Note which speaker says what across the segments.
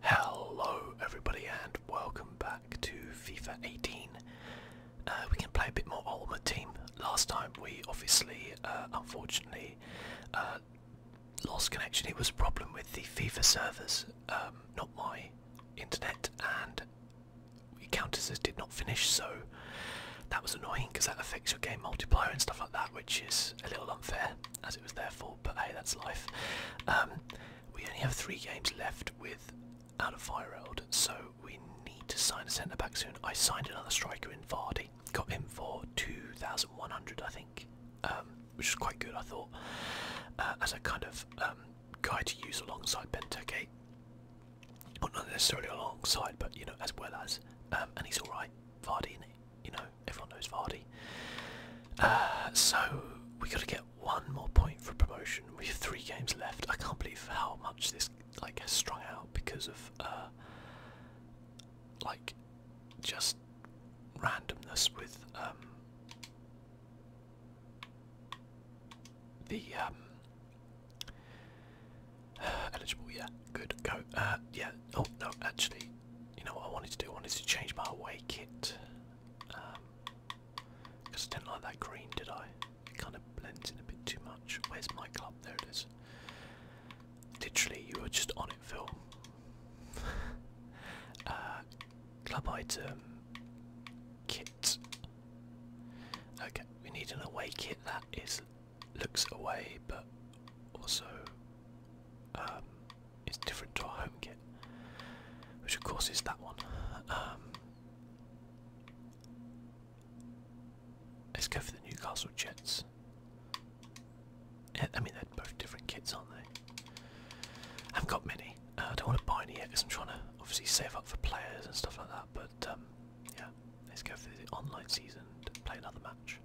Speaker 1: Hello everybody and welcome back to FIFA 18. Uh, we can play a bit more Ultimate Team. Last time we obviously, uh, unfortunately, uh, lost connection. It was a problem with the FIFA servers, um, not my internet, and the counters did not finish, so that was annoying because that affects your game multiplier and stuff like that, which is a little unfair, as it was their fault, but hey, that's life. Um, we only have three games left with out of Fireld, so we need to sign a centre back soon. I signed another striker in Vardy, got him for 2,100 I think, um, which is quite good I thought, uh, as a kind of um, guy to use alongside Benteke. Well, not necessarily alongside, but you know, as well as, um, and he's all right, Vardy. You know, everyone knows Vardy. Uh, so we got to get one more point for promotion. We have three games left. I can't believe how much this like has strung out because of uh, like just randomness with um, the um, eligible. Yeah, good go. Uh, yeah. Oh no, actually, you know what I wanted to do? I wanted to change my away kit. Because um, I didn't like that green, did I? It kind of blends in a bit too much. Where's my club? There it is. Literally, you were just on it, Phil. Uh, club item kit. Okay, we need an away kit that is looks away, but also um, it's different to our home kit, which of course is that one. Um, let's go for the Newcastle Jets. I mean, they're both different kits, aren't they? I have got many. Uh, I don't want to buy any yet because I'm trying to obviously save up for players and stuff like that. But um, yeah, let's go for the online season to play another match.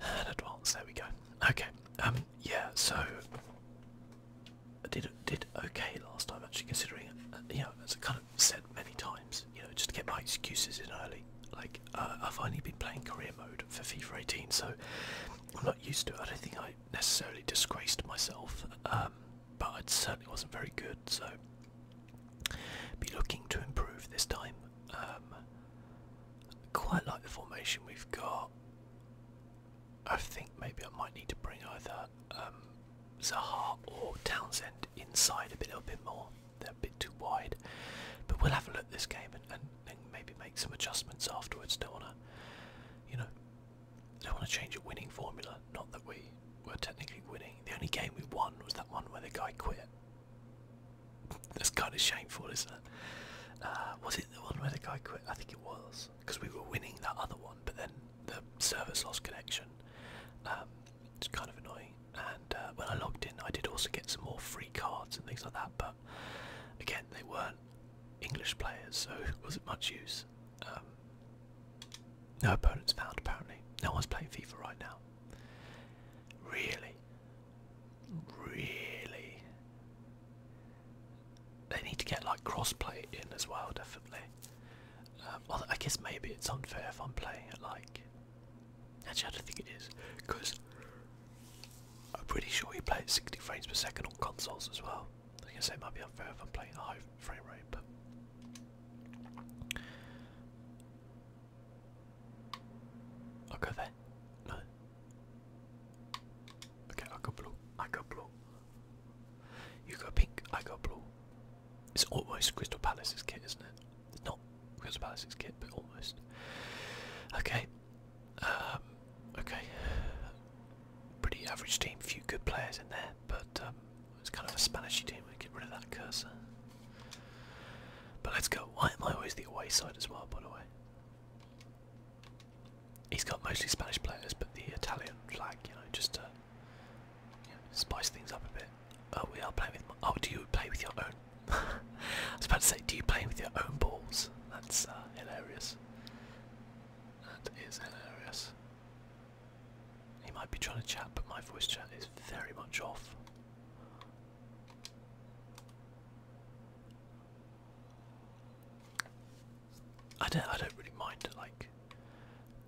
Speaker 1: advance. There we go. Okay. Um. Yeah. So I did did okay last time. Actually, considering uh, you know, as I kind of said many times, you know, just to get my excuses in early. Like uh, I've only been playing career mode for FIFA 18, so I'm not used to it. I don't think I necessarily disgraced myself, um, but I certainly wasn't very good. So be looking to improve this time. Um, quite like the formation we've got. I think maybe I might need to bring either um, Zaha or Townsend inside a, bit, little bit more. They're a bit too wide. But we'll have a look at this game and, and maybe make some adjustments afterwards. Don't want to, you know, don't want to change a winning formula. Not that we were technically winning. The only game we won was that one where the guy quit. That's kind of shameful, isn't it? Uh, was it the one where the guy quit? I think it was because we were winning that other one, but then the service lost connection. Um, it's kind of annoying. And uh, when I logged in, I did also get some more free cards and things like that, but again, they weren't English players, so it wasn't much use. Um, no opponents found, apparently. No one's playing FIFA right now. Really? Really? They need to get like crossplay in as well, definitely. well, um, I guess maybe it's unfair if I'm playing it like. Actually, I don't think it is, because I'm pretty sure you play at 60 frames per second on consoles as well. I guess it might be unfair if I'm playing a high frame rate, but. I'll go there. No. Okay, I got blue. I got blue. You got pink. I got blue. It's almost Crystal Palace's kit, isn't it? It's not Crystal Palace's kit, but almost. Okay. Um, okay. Pretty average team. Few good players in there, but um, it's kind of a Spanishy team. We get rid of that cursor. But let's go. Why am I always the away side as well? By the way. He's got mostly Spanish players, but the Italian flag, you know, just spice things up a bit. Oh, we are playing with. Oh, do you play with your own? I was about to say, do you play with your own balls? That's uh, hilarious. That is hilarious. He might be trying to chat, but my voice chat is very much off. I don't I don't really mind like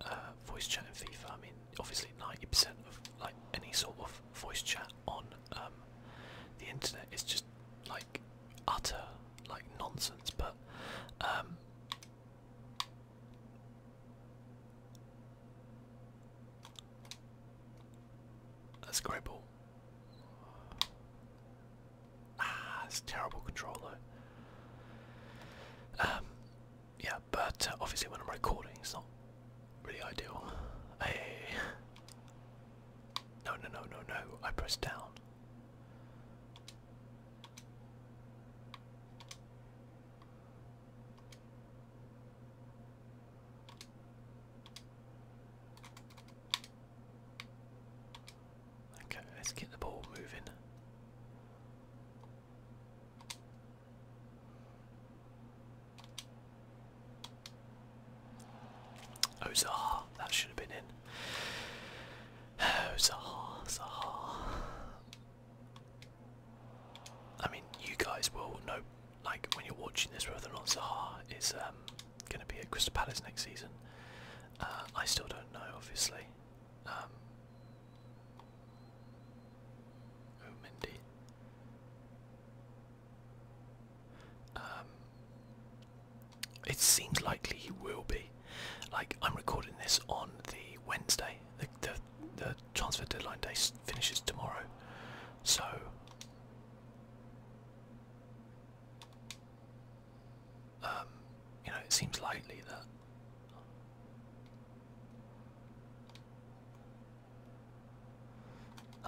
Speaker 1: uh, voice chat in FIFA. I mean, obviously 90% of like any sort of voice chat on um, the internet is just like utter like nonsense. But um, a Scrabble. Ah, it's terrible control Um, yeah, but uh, obviously when I'm recording, it's not really ideal. Hey. No, no, no, no, no. I pressed down. Okay, let's get the ball moving. Ozar, that should have been in. Ozar, Zaha. I mean, you guys will know, like, when you're watching this, whether or not Zaha is um, going to be at Crystal Palace next season. Uh, I still don't know, obviously. Um, oh, Mindy. Um, it seems likely he will be. Like I'm recording this on the Wednesday. The the, the transfer deadline day finishes tomorrow, so um, you know, it seems likely that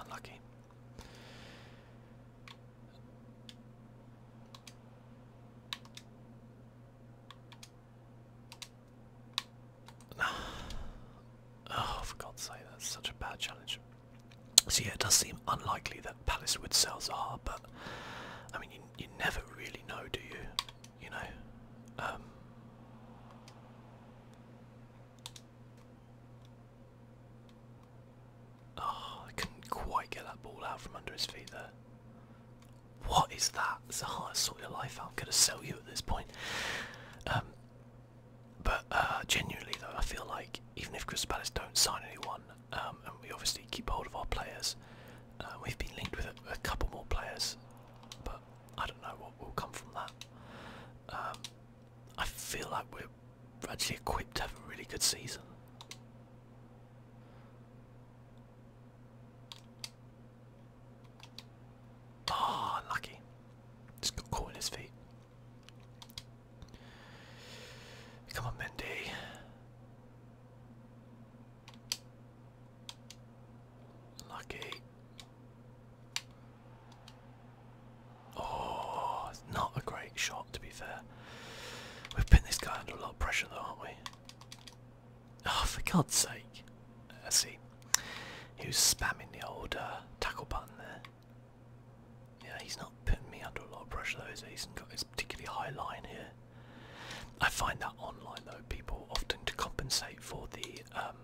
Speaker 1: unlucky. oh, for God's sake, that's such a bad challenge. So yeah, it does seem unlikely that Palace would sell Zaha, but I mean, you, never really know, do you? You know. oh, I couldn't quite get that ball out from under his feet there. What is that? Zaha, sort your life out. I'm going to sell you at this point. Um, but uh, genuinely though, I feel like even if Crystal Palace don't sign anyone, um, and we obviously keep hold of our players, uh, we've been linked with a, couple more players, but I don't know what will come from that. Um, I feel like we're actually equipped to have a really good season. Ah, unlucky. Just got caught in his feet. Come on, Mendy. Lucky. Oh, it's not a great shot to be fair. We've pinned this guy under a lot of pressure though, aren't we? Oh, for God's sake. I uh, see. He was spamming the old uh, tackle button there. Yeah, he's not putting me under a lot of pressure though, he? has got this particularly high line here. I find that online though, people often to compensate for the um,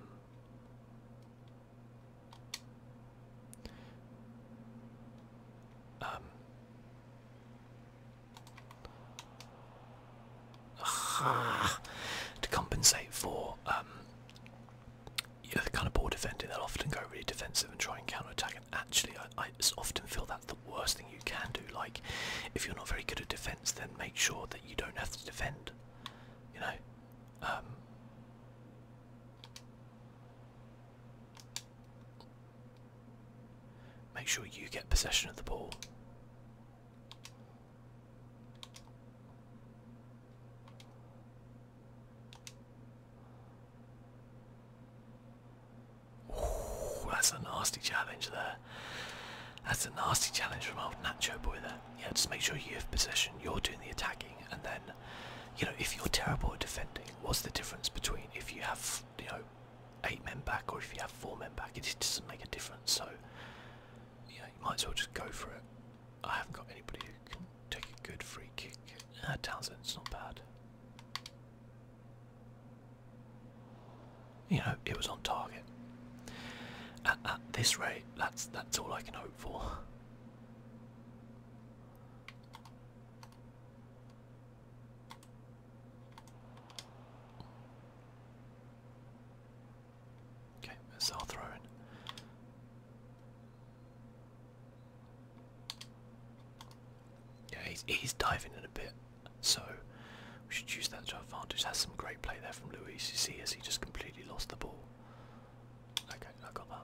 Speaker 1: um to compensate for um you're kind of poor defending, they'll often go really defensive and try and counter-attack, and actually I, I often feel that's the worst thing you can do, like, if you're not very good at defence, then make sure that you don't have to defend, you know? Um, make sure you get possession of the ball that's a nasty challenge there. That's a nasty challenge from old Nacho Boy there. Yeah, just make sure you have possession, you're doing the attacking, and then, you know, if you're terrible at defending, what's the difference between if you have, you know, eight men back or if you have four men back? It just doesn't make a difference, so, yeah, you might as well just go for it. I haven't got anybody who can take a good free kick. Ah, uh, not bad. You know, it was on target. At, this rate, that's that's all I can hope for. Okay, that's our throw in. Yeah, he's, diving in a bit, so we should use that to our advantage. That's some great play there from Luis. You see, as he just completely lost the ball. Okay, I got that.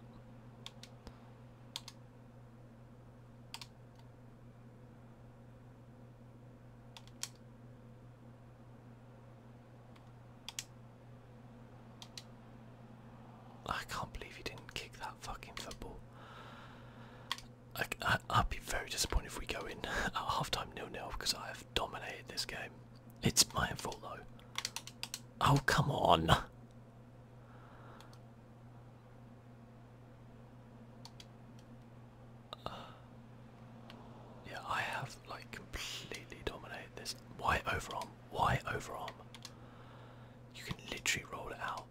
Speaker 1: I can't believe he didn't kick that fucking football. I, would be very disappointed if we go in at halftime nil-nil because I have dominated this game. It's my fault though. Oh come on! yeah, I have like completely dominated this. Why overarm? Why overarm? You can literally roll it out.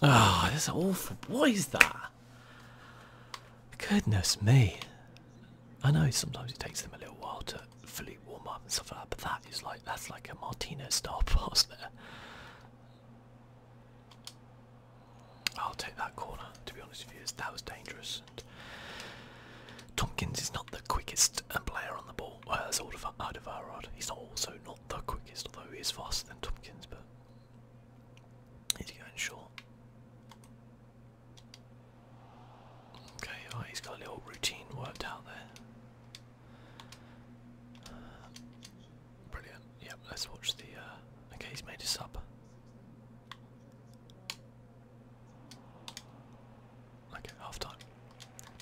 Speaker 1: Ah, oh, this is awful. is that? Goodness me. I know sometimes it takes them a little while to fully warm up and stuff like that, but that is that's like a Martinez style pass there. I'll take that corner. To be honest with you, that was dangerous. And Tompkins is not the quickest uh, player on the ball. Well, that's Aldevarod. He's also not the quickest, although he's faster than Tomkins. But he's going short. Okay, right, oh, he's got a little routine worked out there. Uh, brilliant. Yep, let's watch the. okay, uh, he's made a supper. Okay, half time.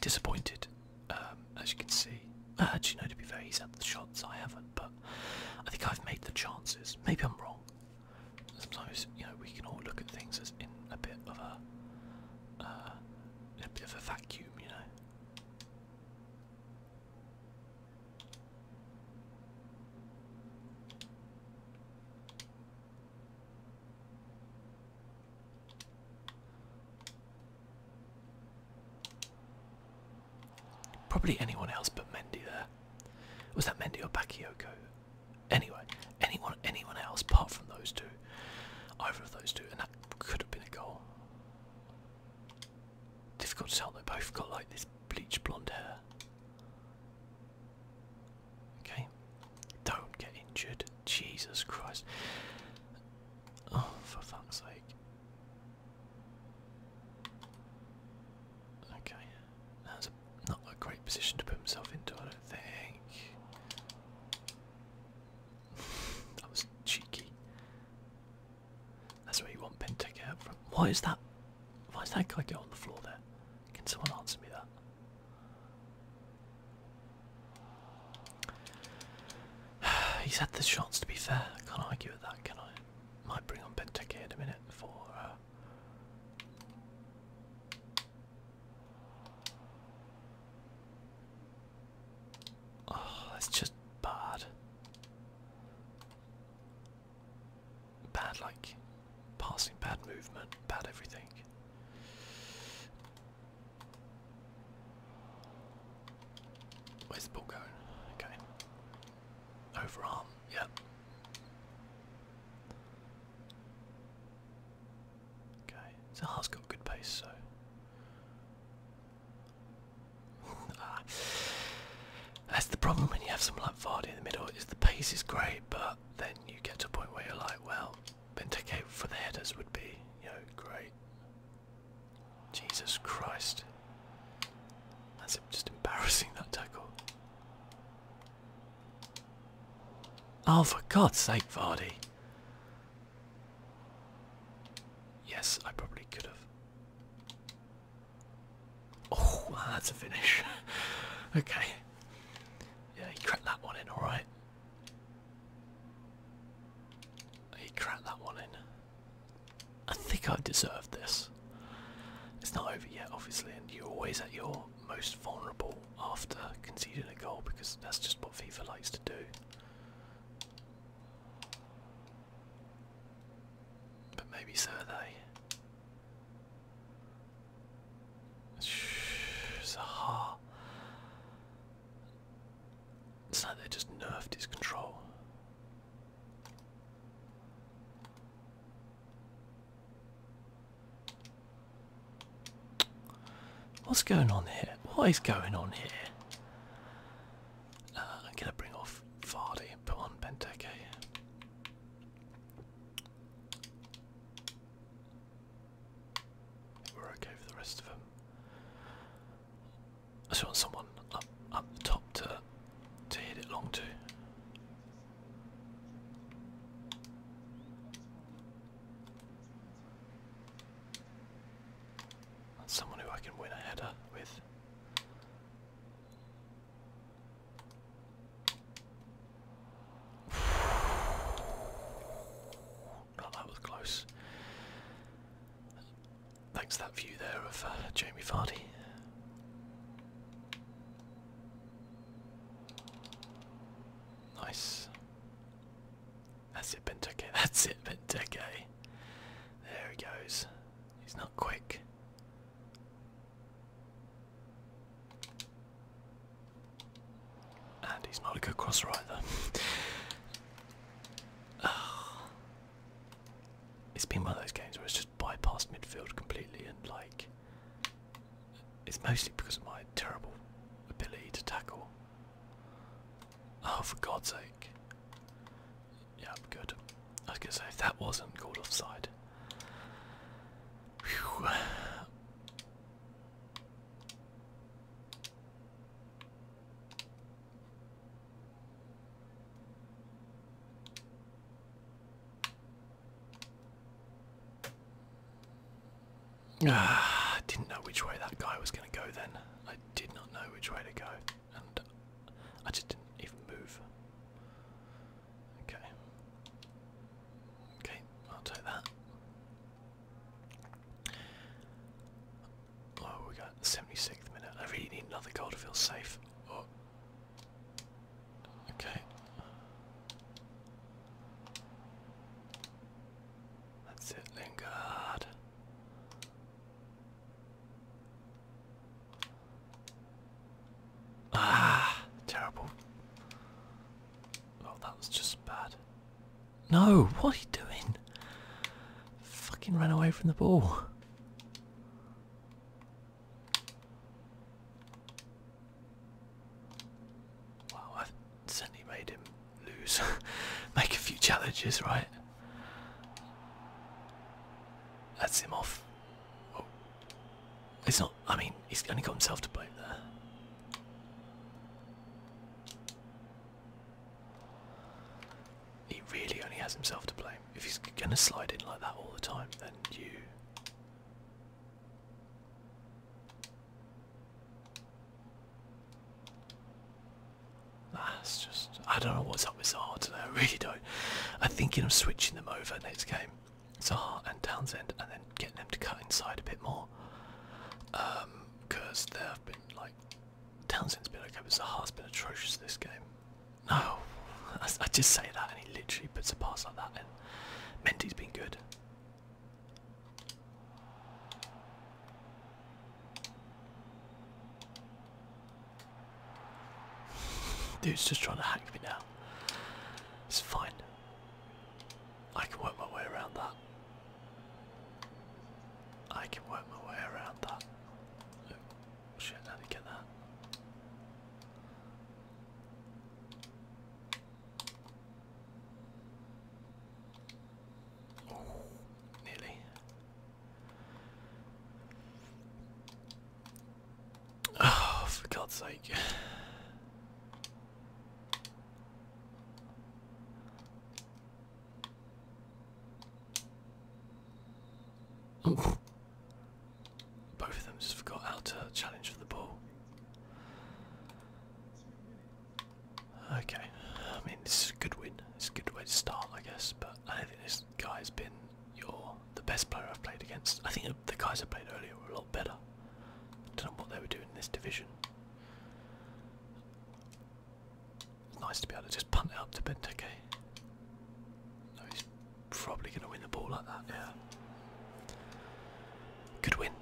Speaker 1: Disappointed, um, as you can see. Uh, actually, no, to be fair, he's had the shots, I haven't, but I think I've made the chances. Maybe I'm wrong. Sometimes, you know, we can all look at things as in a bit of a, uh, a bit of a vacuum, you know. Probably anyone else but Mendy there. Was that Mendy or Bakayoko? Anyway, anyone anyone else apart from those two. Either of those two, and that could have been a goal. Difficult to tell, they both got like this bleached blonde hair. Okay. Don't get injured. Jesus Christ. Oh, for fuck's sake. Okay. That's a, not a great position to put himself into, I don't think. that was cheeky. That's where you want Ben to get from. Why is that? Why is that guy get on the floor there? Can someone answer me that? He's had the shots to be fair. I can't argue with that, can I? Might bring on Benteke in a minute for uh, Oh, that's just bad. Bad, like, passing, bad movement, bad everything. Where's the ball going? Okay. Overarm, Yeah. Okay, Zaha's got good pace, so Ah. that's the problem when you have some like Vardy in the middle. Is the pace is great, but then you get to a point where you're like, well, Benteke for the headers would be, you know, great. Jesus Christ, that's just embarrassing that tackle. Oh, for God's sake, Vardy. Yes, I probably could have. Oh, ah, that's a finish. okay. Yeah, he cracked that one in, alright. He cracked that one in. I think I deserved this. It's not over yet, obviously, and you're always at your most vulnerable after conceding a goal because that's just what FIFA likes to do. But maybe so are they. Zaha. It's like they just nerfed his control. What's going on here? What is going on here? Uh, I'm gonna bring off Vardy put on Benteke. We're okay for the rest of them. I just want someone up up the top to to hit it long to. That's someone who I can win a header with. that was close. Thanks to that view there of uh, Jamie Vardy. Nice. That's it, Benteke. That's it, Benteke. There he goes. He's not quick. And he's not a good crosser either. Ah. It's been one of those games where it's just bypassed midfield completely and like it's mostly because of my terrible ability to tackle. Oh, for God's sake. Yeah, I'm good. I was gonna say, if that wasn't called offside. Ah, didn't know which way that guy was going to go then did not know which way to go, and I just didn't even move. Okay. Okay, I'll take that. Oh, we got 76th minute. I really need another goal to feel safe. Oh. Okay. That's it, Lingard. Ah, terrible. Oh, that was just bad. No, what are you doing? Fucking ran away from the ball. Wow, I've certainly made him lose. Make a few challenges, right? That's him off. It's not, I mean, he's only got himself to blame there. He really only has himself to blame. If he's gonna slide in like that all the time, then you. That's just I don't know what's up with Zaha today. I really don't. I'm thinking of switching them over next game, Zaha and Townsend, and then getting them to cut inside a bit more. Because um, have been like Townsend's been okay, but Zaha's been atrocious this game. No, I, just say that, and he literally puts a pass like that. And Mendy's been good. Dude's just trying to hack me now. It's fine. I can work my way around that. I can work my way around that. Oh, shit, get that? Oh, nearly. Oh, for God's sake. Both of them just forgot how to challenge for the ball. Okay, I mean this is a good win. It's a good way to start, I guess. But I don't think this guy's been your the best player I've played against. I think the guys I played earlier were a lot better. I don't know what they were doing in this division. It's nice to be able to just punt it up to Benteke. No, he's probably going to win the ball like that. Yeah, good win.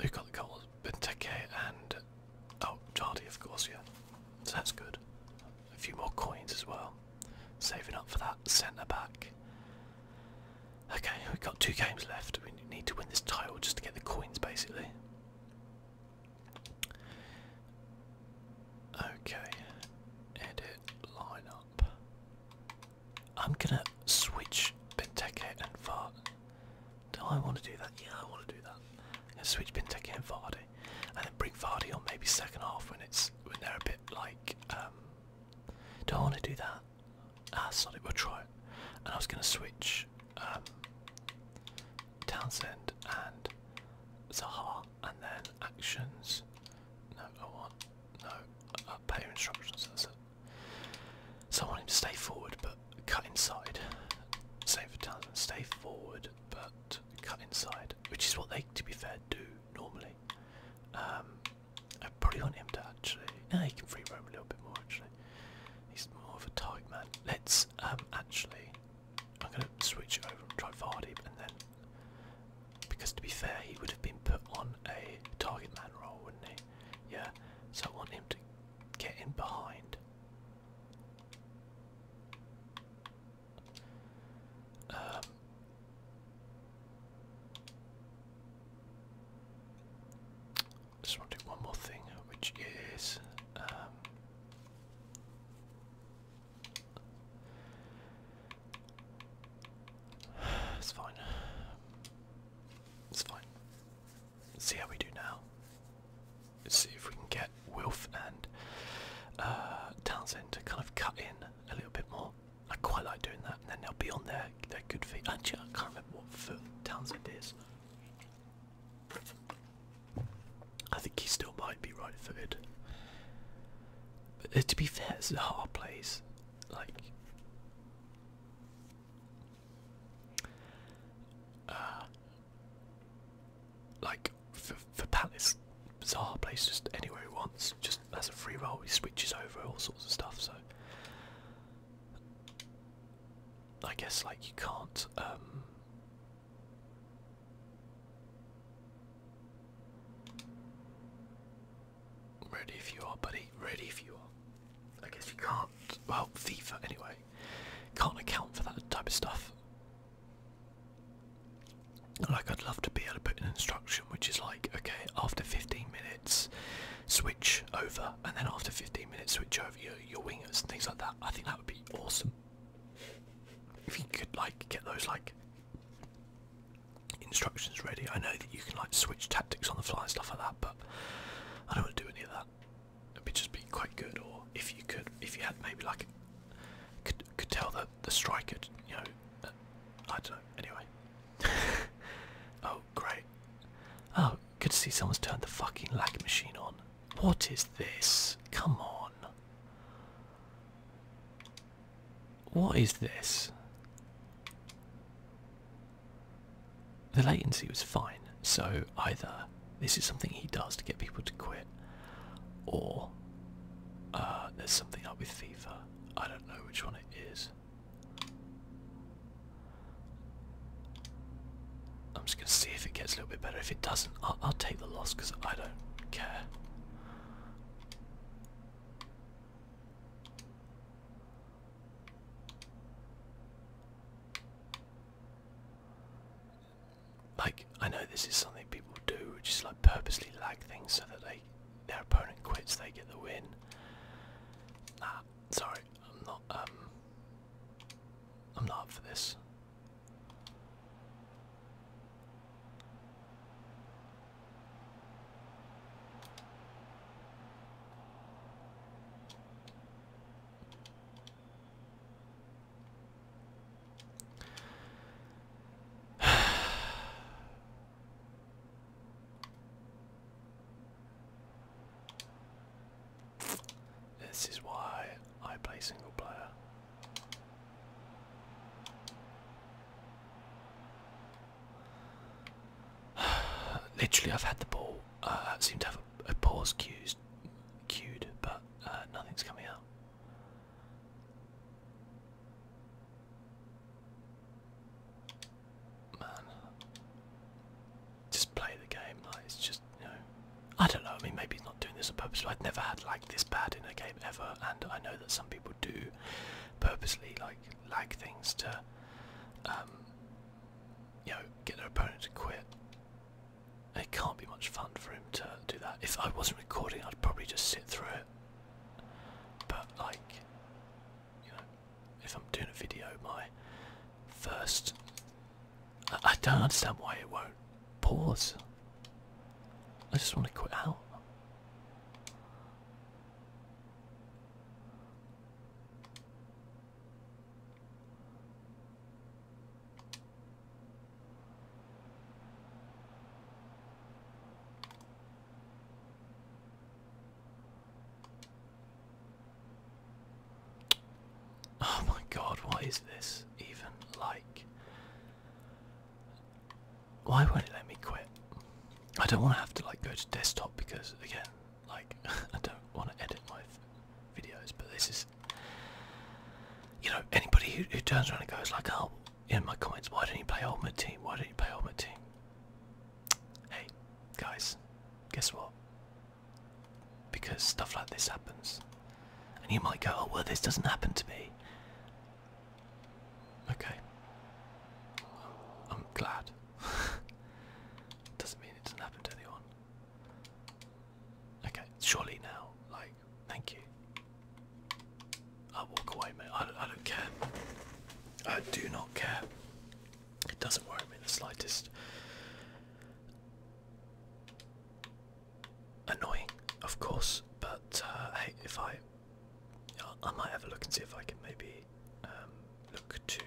Speaker 1: Who got the goals? Benteke and oh Jardy of course, yeah. So that's good. A few more coins as well. Saving up for that centre back. Okay, we've got two games left. We need to win this title just to get the coins basically. Okay. Edit line I'm gonna switch Benteke and Vardy. Do I want to do that? Yeah, I want to do that. I'm gonna switch Benteke and Vardy, and then bring Vardy on maybe second half when it's when they're a bit like. Um, do I want to do that? Ah, sorry, we'll try it. And I was gonna switch um, Townsend and Zaha, and then actions. No, I want no uh, instructions. That's it. So I want him to stay forward but cut inside. Same for Townsend, stay forward but cut inside, which is what they, to be fair, do normally. Um, I probably want him to actually. No, he can free roam a little bit more actually. He's more of a target man. Let's um, actually. I'm going to switch over and try Vardy, and then. Because to be fair, he would have been put on a target man role, wouldn't he? Yeah, so I want him to get in behind. Um, just want to do one more thing, which is um, it's fine. It's fine. Let's see how we do now. Let's see if we can get Wilf and uh, Townsend to kind of cut in a little bit more. I quite like doing that, and then they'll be on their their good feet. Actually, I can't remember what foot Townsend is. I think he still might be right footed. But uh, to be fair, it's a hard place. Like uh, like for, for Palace, Zaha place, just anywhere he wants, just as a free roll, he switches over all sorts of stuff. So I guess like you can't. Um, Ready if you are, buddy. Ready if you are. I guess you can't. Well, FIFA anyway. Can't account for that type of stuff. Like, I'd love to be able to put an instruction which is like, okay, after 15 minutes, switch over, and then after 15 minutes, switch over your, your wingers and things like that. I think that would be awesome. If you could, like, get those, like, instructions ready. I know that you can, like, switch tactics on the fly and stuff like that, but. I don't want to do any of that. It'd be just be quite good, or if you could, if you had maybe like could could tell the the striker, you know, I don't know. Anyway, oh great, oh good to see someone's turned the fucking lag machine on. What is this? Come on. What is this? The latency was fine, so either this is something he does to get people to quit, or uh, there's something up with FIFA. I don't know which one it is. I'm just going to see if it gets a little bit better. If it doesn't, I'll take the loss because I don't care. Like, I know this is something people do, which is like purposely lag things so that they their opponent quits, they get the win. Nah, sorry, I'm not um I'm not for this. this is why I play single player. Literally, I've had the ball. I uh, seem to have a, pause cues, queued, but uh, nothing's coming out. Man, just play the game. it's just you know, I don't know. I mean, maybe he's not doing this on purpose. I've never had like this bad in a game ever, and I know that some people do purposely like lag things to um, you know, get their opponent to quit. it can't be much fun for him to do that. If I wasn't recording, I'd probably just sit through it. But like, you know, if I'm doing a video, my first, I don't understand why it won't pause. I just want to quit out. Oh my god, what is this even like? Why won't it let me quit? I don't want to have to like go to desktop because again like, I don't want to edit my videos, but this is, you know, anybody who, who turns around and goes like, oh, in my comments, why don't you play all my Team? Why don't you play all my Team? Hey, guys, guess what? Because stuff like this happens. And you might go, oh, well, this doesn't happen to me. Okay. I'm glad doesn't mean it doesn't happen to anyone. Okay, surely now, like, thank you. I walk away, mate. I don't, I don't care. I do not care. It doesn't worry me the slightest. Annoying, of course, but uh, hey, if I, I might have a look and see if I can maybe um, look to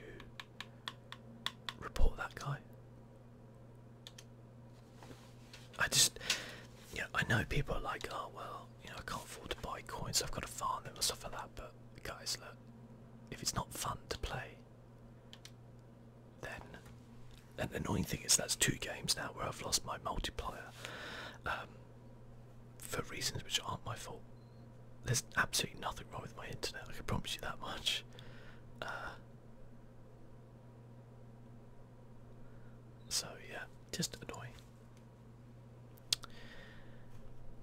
Speaker 1: report that guy. I just, yeah, I know people are like, oh well, you know, I can't afford to buy coins, I've got to farm them and stuff like that. But guys, look, if it's not fun to play, then, and the annoying thing is that's two games now where I've lost my multiplier um, for reasons which aren't my fault. There's absolutely nothing wrong with my internet, I can promise you that much. Uh, so, yeah, just annoying.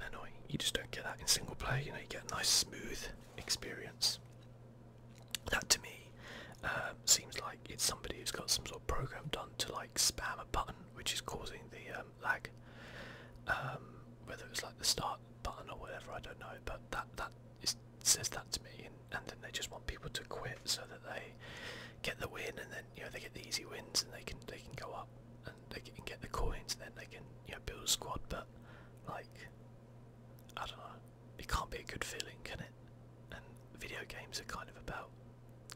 Speaker 1: Annoying. You just don't get that in single play, you know, you get a nice, smooth experience. That to me um, seems like it's somebody who's got some sort of program done to like spam a button which is causing the um, lag. Um, whether it's like the start up button or whatever, I don't know, but that that is, says that to me, and, and then they just want people to quit so that they get the win, and then you know they get the easy wins, and they can they can go up, and they can get the coins, and then they can you know build a squad. But like, I don't know, it can't be a good feeling, can it? And video games are kind of about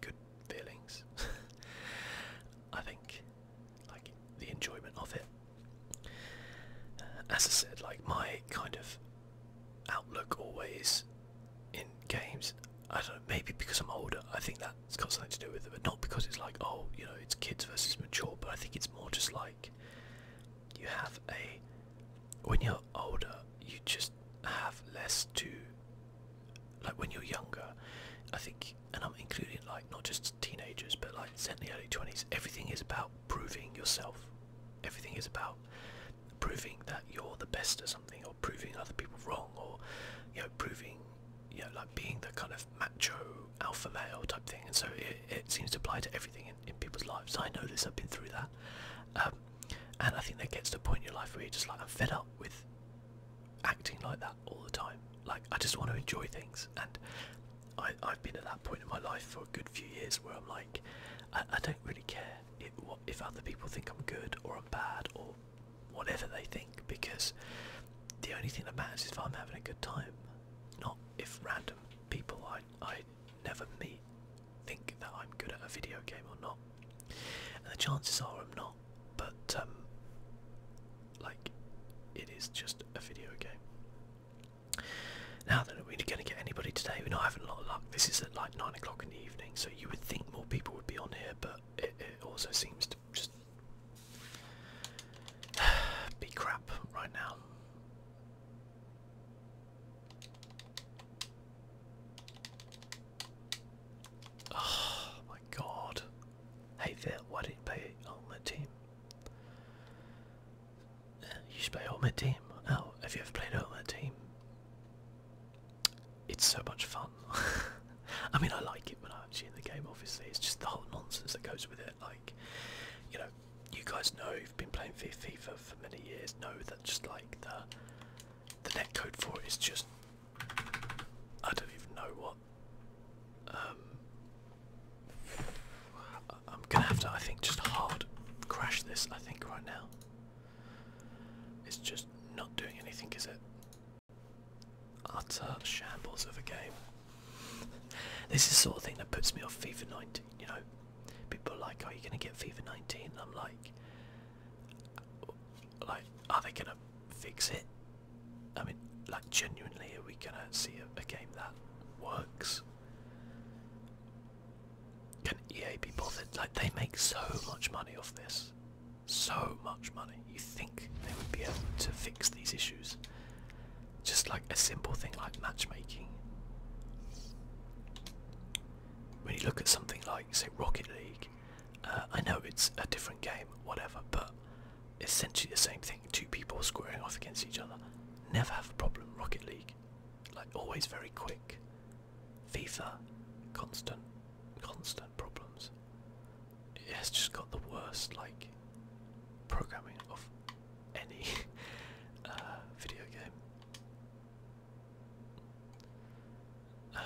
Speaker 1: good feelings, I think like the enjoyment of it. as I said, like my kind of outlook always in games, I don't know, maybe because I'm older, I think that's got something to do with it, but not because it's like, oh, you know, it's kids versus mature, but I think it's more just like you have a, when you're older, you just have less to, like when you're younger, I think and I'm including like not just teenagers but like certainly early 20s everything is about proving yourself everything is about proving that you're the best at something or proving other people wrong or you know proving you know like being the kind of macho alpha male type thing and so it, seems to apply to everything in, people's lives I know this I've been through that um, and I think that gets to a point in your life where you're just like I'm fed up with acting like that all the time. Like I just want to enjoy things, and I, I've been at that point in my life for a good few years where I'm like, I, don't really care if, other people think I'm good or I'm bad or whatever they think, because the only thing that matters is if I'm having a good time, not if random people I I never meet think that I'm good at a video game or not. And the chances are I'm not, but um, like it is just a video game. Now then, are we going to get anybody today? We're not having a lot of luck. This is at like nine o'clock in the evening, so you would think more people would be on here, but it, also seems to just be crap right now. Oh my god. Hey there, why didn't on my team? you should play Ultimate Team. Oh, have you ever played Ultimate Team? It's so much fun. I mean, I like it when I'm actually in the game, obviously. It's just the whole nonsense that goes with it. Like, you know, you guys know you've been playing FIFA for many years, know that just like the the netcode for it is just. I don't even know what um, I'm gonna have to, I think, just hard crash this. I think right now. It's just not doing anything, is it? Utter shambles of a game. this is the sort of thing that puts me off FIFA 19. You know, people are like, "Are you gonna get FIFA 19?" I'm like, "Like, are they gonna fix it?" I mean, like genuinely, are we gonna see a, game that works? Can EA be bothered? Like, they make so much money off this. So much money. You think they would be able to fix these issues. Just like a simple thing like matchmaking. When you look at something like, say, Rocket League, uh, I know it's a different game, whatever, but essentially the same thing. Two people squaring off against each other. Never have a problem. Rocket League, like always, very quick. FIFA, constant, constant problems. It has just got the worst like programming of any uh, video game.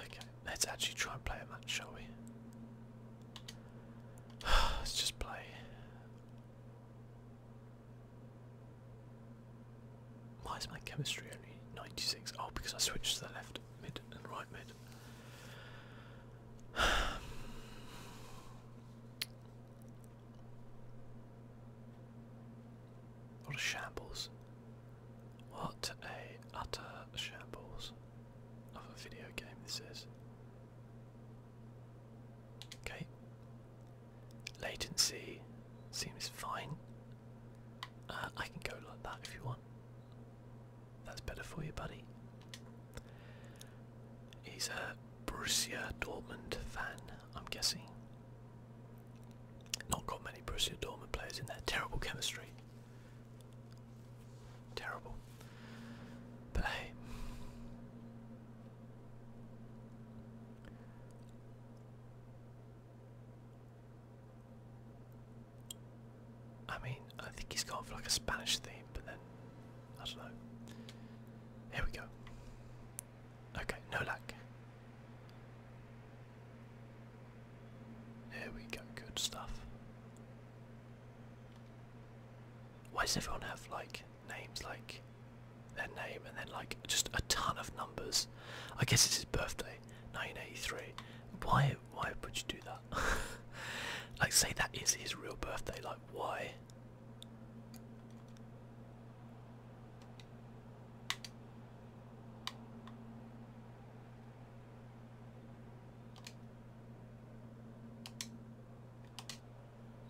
Speaker 1: Okay, let's actually try and play a match, shall we? Let's just play. Why is my chemistry only 96? Oh, because I switched to the left mid and right mid. What a shambles. What a utter shambles of a video game this is. Okay. Latency seems fine. Uh, I can go like that if you want. That's better for you, buddy. He's a Borussia Dortmund fan, I'm guessing. Not got many Borussia Dortmund players in there. Terrible chemistry. Terrible. But hey. I mean, I think he's for like a Spanish theme, but then I don't know. Here we go. Okay, no lack. Here we go, good stuff. Why does everyone have like names like their name and then like just a ton of numbers? I guess it's his birthday, 1983. Why why would you do that? like say that is his real birthday, like why?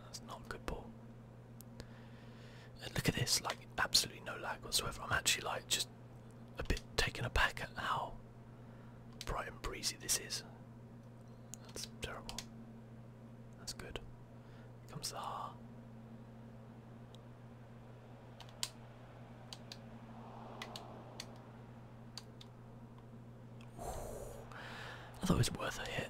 Speaker 1: That's not a good ball. And look at this, like absolutely no lag whatsoever. I'm actually like just a bit taken aback at how bright and breezy this is. That's terrible. That's good. comes the ha. I thought it was worth a hit.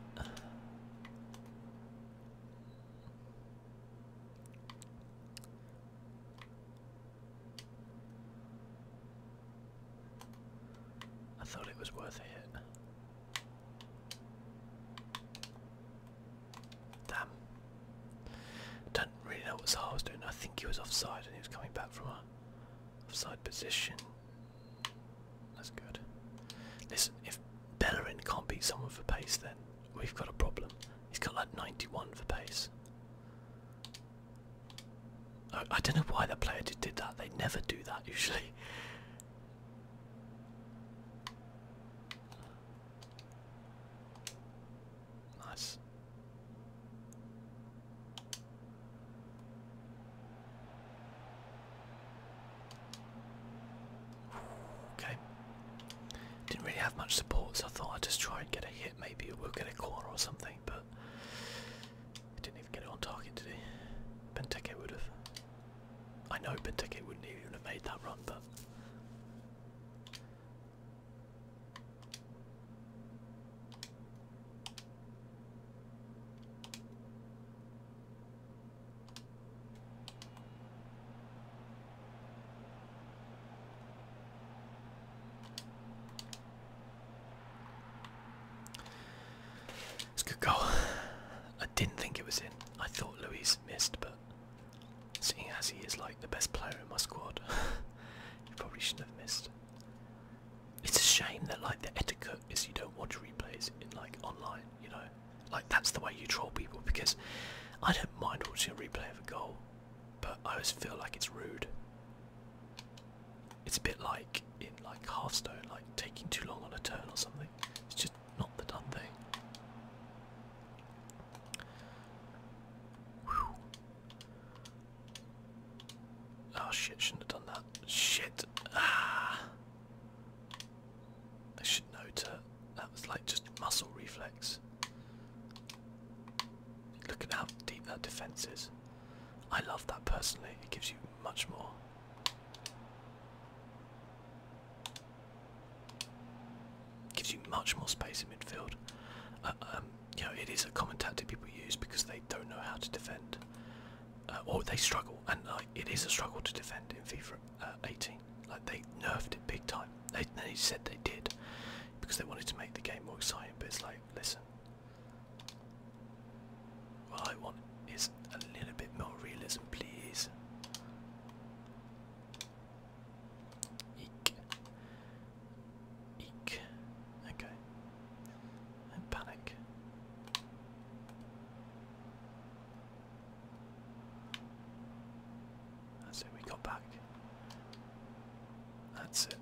Speaker 1: I thought it was worth a hit. Damn. Don't really know what Zaha was doing. I think he was offside and he was coming back from a offside position. That's good. Listen, if Bellerin can't beat someone for pace, then we've got a problem. He's got like 91 for pace. I, don't know why that player did, did that. They never do that usually. Nice. Okay. Didn't really have much support, so I thought I'd just try and get a hit. Maybe we'll get a corner or something, but I didn't even get it on target, did he? Benteke would have. I know Benteke wouldn't even have made that run, but good goal. I didn't think it was in. I thought Luis missed, but seeing as he is like the best player in my squad, he probably shouldn't have missed. It's a shame that like the etiquette is you don't watch replays in like online, you know. Like that's the way you troll people because I don't mind watching a replay of a goal, but I always feel like it's rude. It's a bit like in like Hearthstone, like taking too long on a turn or something. It's just not the done thing. Oh shit, shouldn't have done that. Shit. Ah. I should know to that was like just muscle reflex. Look at how deep that defense is. I love that personally. It gives you much more. Gives you much more space in midfield. Uh, um, you know, it is a common tactic people use because they don't know how to defend. Uh, or oh, they struggle, and like it is a struggle to defend in FIFA uh, 18. Like they nerfed it big time. they said they did because they wanted to make the game more exciting, but it's like, listen, what I want is a little bit more realism, please. Eek. Eek. Okay panic. That's it, we got back. That's it.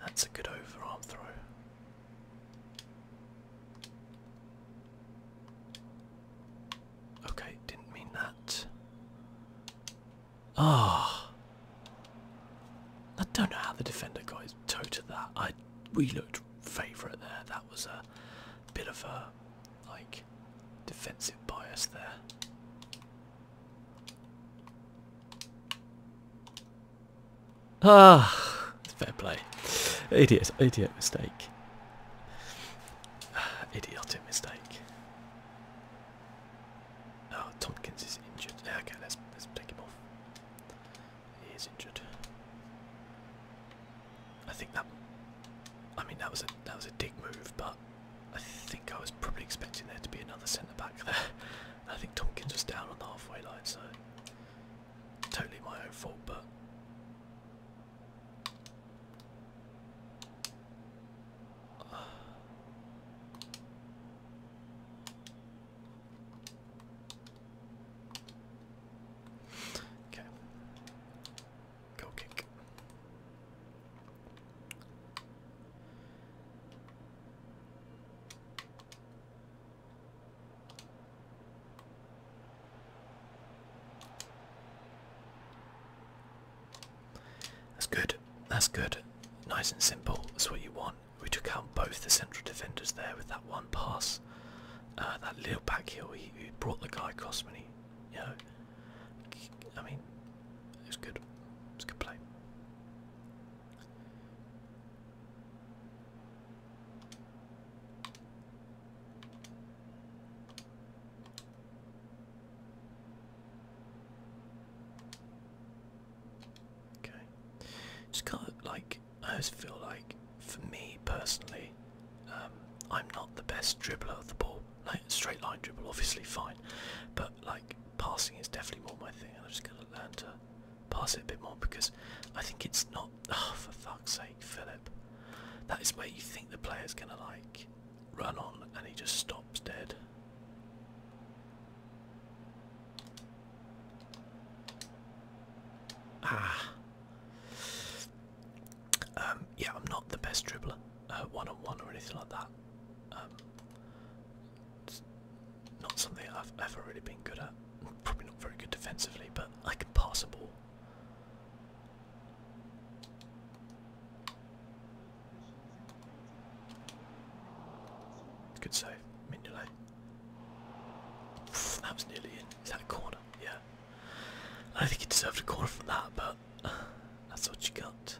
Speaker 1: That's a good overarm throw. Okay, didn't mean that. Ah! I don't know how the defender got I that. I we looked favourite there. That was a bit of a like defensive bias there. Ah, fair play. Idiot, idiot mistake. Idiotic mistake. Oh, Tompkins is injured. okay, let's let's take him off. He is injured. I think that. I mean, that was a that was a dig move, but I think I was probably expecting there to be another centre back there. I think Tompkins was down on the halfway line, so totally my own fault. But Okay. Go kick. That's good. That's good. Nice and simple. That's what you want. We took out both the central defenders there with that one pass. Uh, that little back heel, he, brought the guy across when he, you know, I mean, it was good. It was a good play. Okay. Just kind of like I just feel like for me personally, um, I'm not the best dribbler of the ball. Like straight line dribble, obviously fine, but like passing is definitely more my thing, and I'm just gonna learn to pass it a bit more because I think it's not. Oh, for fuck's sake, Philip! That is where you think the player's gonna like run on, and he just stops dead. Ah. Um, yeah, I'm not the best dribbler, one on one or anything like that. Um, not something I've ever really been good at. Probably not very good defensively, but I can pass a ball. Good save, Mignolet. That was nearly in. Is that a corner? Yeah. I think he deserved a corner from that, but that's what you got.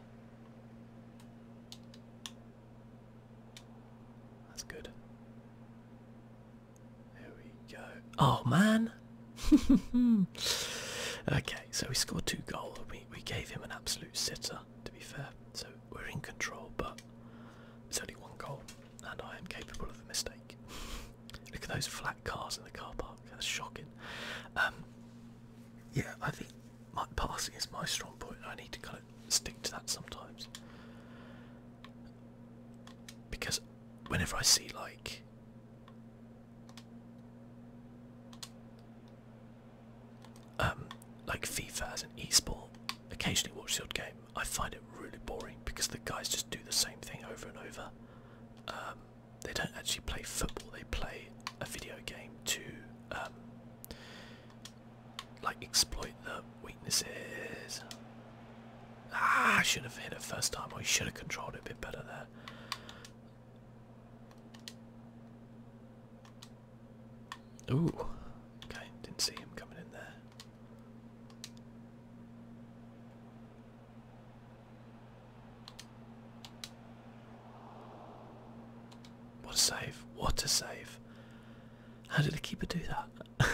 Speaker 1: That's good. There we go. Oh man! okay, so we scored two goals. We we gave him an absolute sitter. To be fair, so we're in control, but it's only one goal and I am capable of a mistake. Look at those flat cars in the car park. That's shocking. Um, yeah, I think my passing is my strong point. I need to kind of stick to that sometimes. Because whenever I see like um like FIFA as an e-sport, occasionally watch the old game I find it really boring because the guys just do the same thing over and over. Um, they don't actually play football, they play a video game to um, like exploit the weaknesses. Ah, I should have hit it first time, or I should have controlled it a bit better there. Ooh, okay, didn't see him coming in there. What a save. What a save. How did the keeper do that?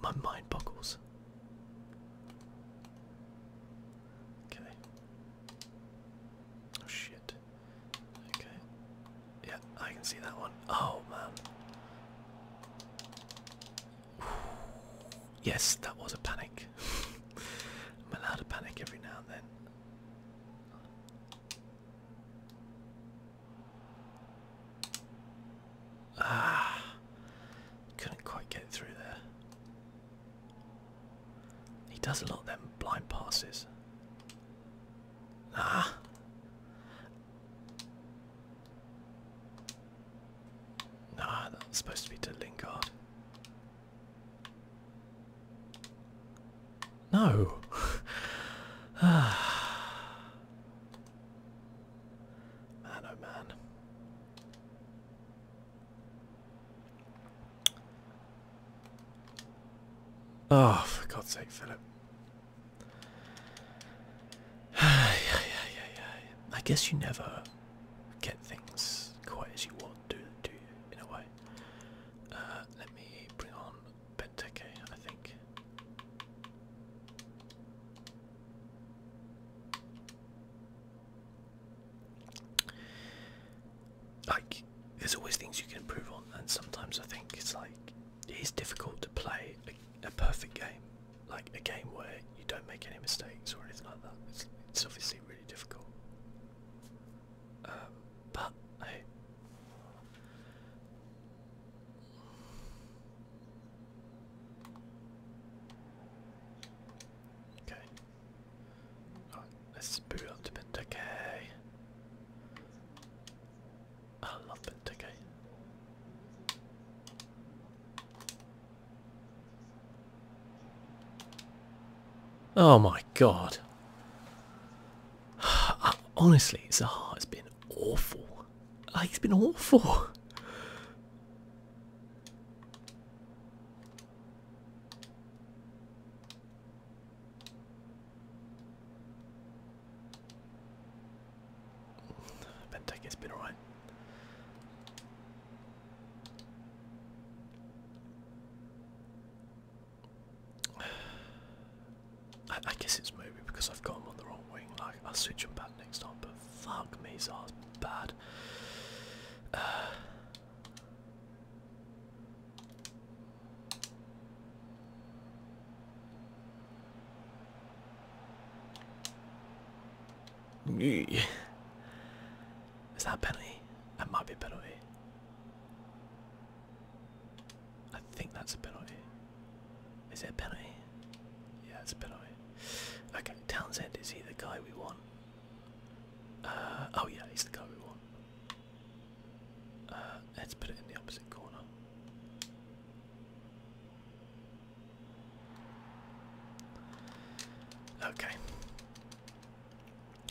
Speaker 1: my mind boggles. Okay. Oh shit. Okay. Yeah, I can see that one. Oh man. Yes, that was a panic. I'm allowed to panic every now and then. Ah, couldn't quite get through there. He does a lot of them blind passes. Ah, Nah, that was supposed to be to Lingard. No. man, oh man. Oh, for God's sake, Philip. I guess you never get things quite as you want, do, do in a way? Uh, let me bring on Benteke, I think. Like, there's always things you can improve on, and sometimes I think it's like it is difficult to play a perfect game, like a game where you don't make any mistakes or anything like that. It's, obviously really difficult. Um, but okay. let's boot up to Pentacay. I love that ticket. Oh my god. Uh, honestly, Zaha's been awful. Like, uh, he's been awful. Benteke's been alright. I, I guess it's maybe because I've got him on the wrong wing. Like I'll switch him back next time. But fuck me, Zah's bad. Is that a penalty? That might be a penalty. I think that's a penalty. Is it a penalty? Yeah, it's a penalty. Okay, Townsend, is he the guy we want? Uh, oh yeah, he's the guy we want. Uh, let's put it in the opposite corner. Okay.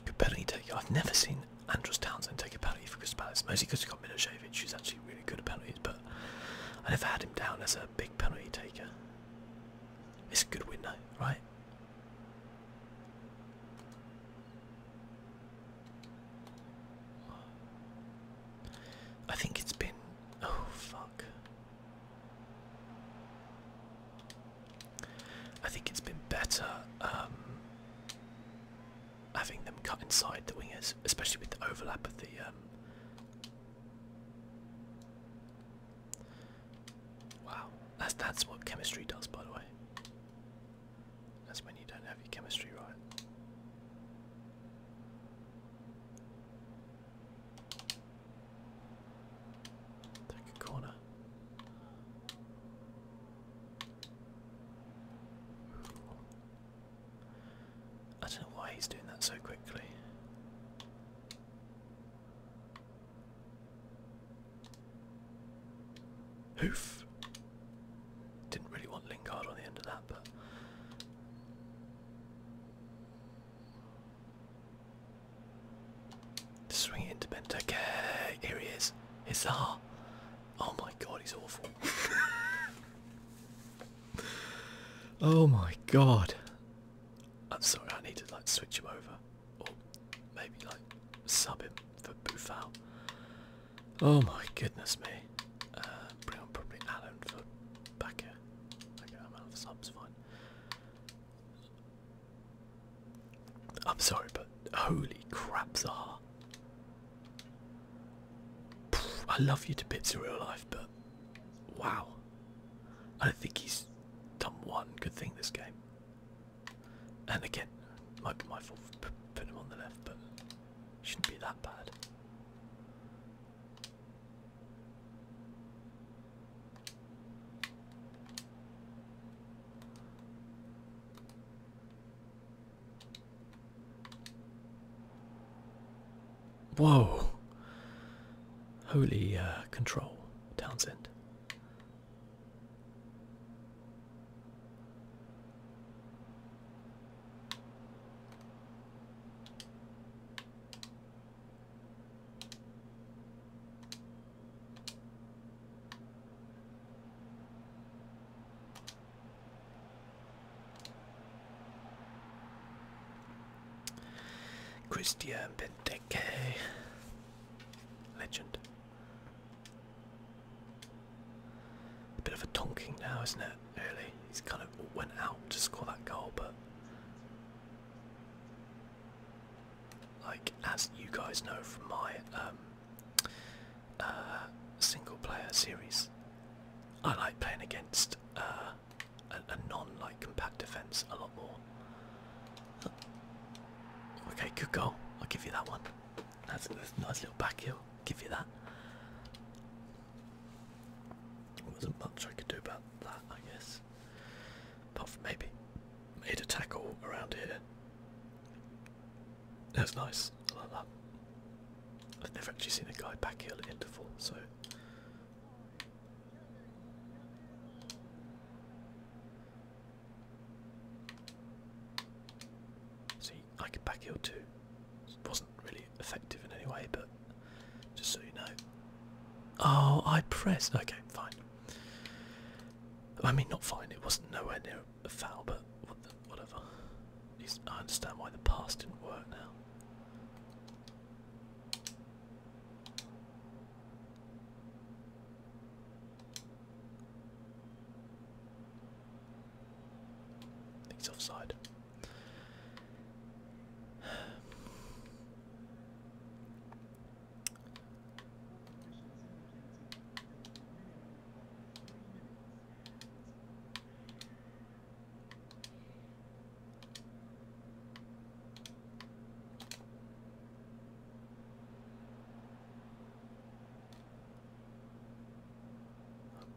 Speaker 1: Good penalty taker. I've never seen Andros Townsend take a penalty for Chris Palace, mostly because he's got Milosevic, who's actually really good at penalties, but I never had him down as a big penalty taker. It's a good window, right? I think it's been. Oh, fuck. I think it's been better um, having them cut inside the wingers, especially with the overlap of the. Um, wow, that's that's what chemistry does, by the way. That's when you don't have your chemistry right. Take a corner. I don't know why he's doing that so quickly. Hoof. Didn't really want Lingard on the end of that, but. Swing it into Benteke. Here he is. Hissar. Oh my god, he's awful. oh my god. I'm sorry, I need to like switch him over. Or maybe like sub him for Buffal. Oh my goodness me. Uh, probably Alan for back here. I'm out of subs, fine. I'm sorry, but holy crap, Zaha. I love you to bits in real life, but wow. I don't think he's done one good thing this game. And again, might be my fault for putting him on the left, but Shouldn't be that bad. Whoa! Holy uh, control, Townsend. Christian Benteke, legend. A bit of a tonking now, isn't it? Really, he's kind of went out to score that goal, but like as you guys know from my um, uh, single-player series, I like playing against uh, a, non-like compact defense a lot more. Okay, good goal. I'll give you that one. That's a nice little back heel. Give you that. There wasn't much I could do about that, I guess. Apart from maybe made a tackle around here. That was nice. I have never actually seen a guy back heel at interval, so. See, I could back heel too really effective in any way, but just so you know. Oh, I pressed. Okay, fine. I mean, not fine. It wasn't nowhere near a foul, but whatever. I understand why the pass didn't work now. He's offside.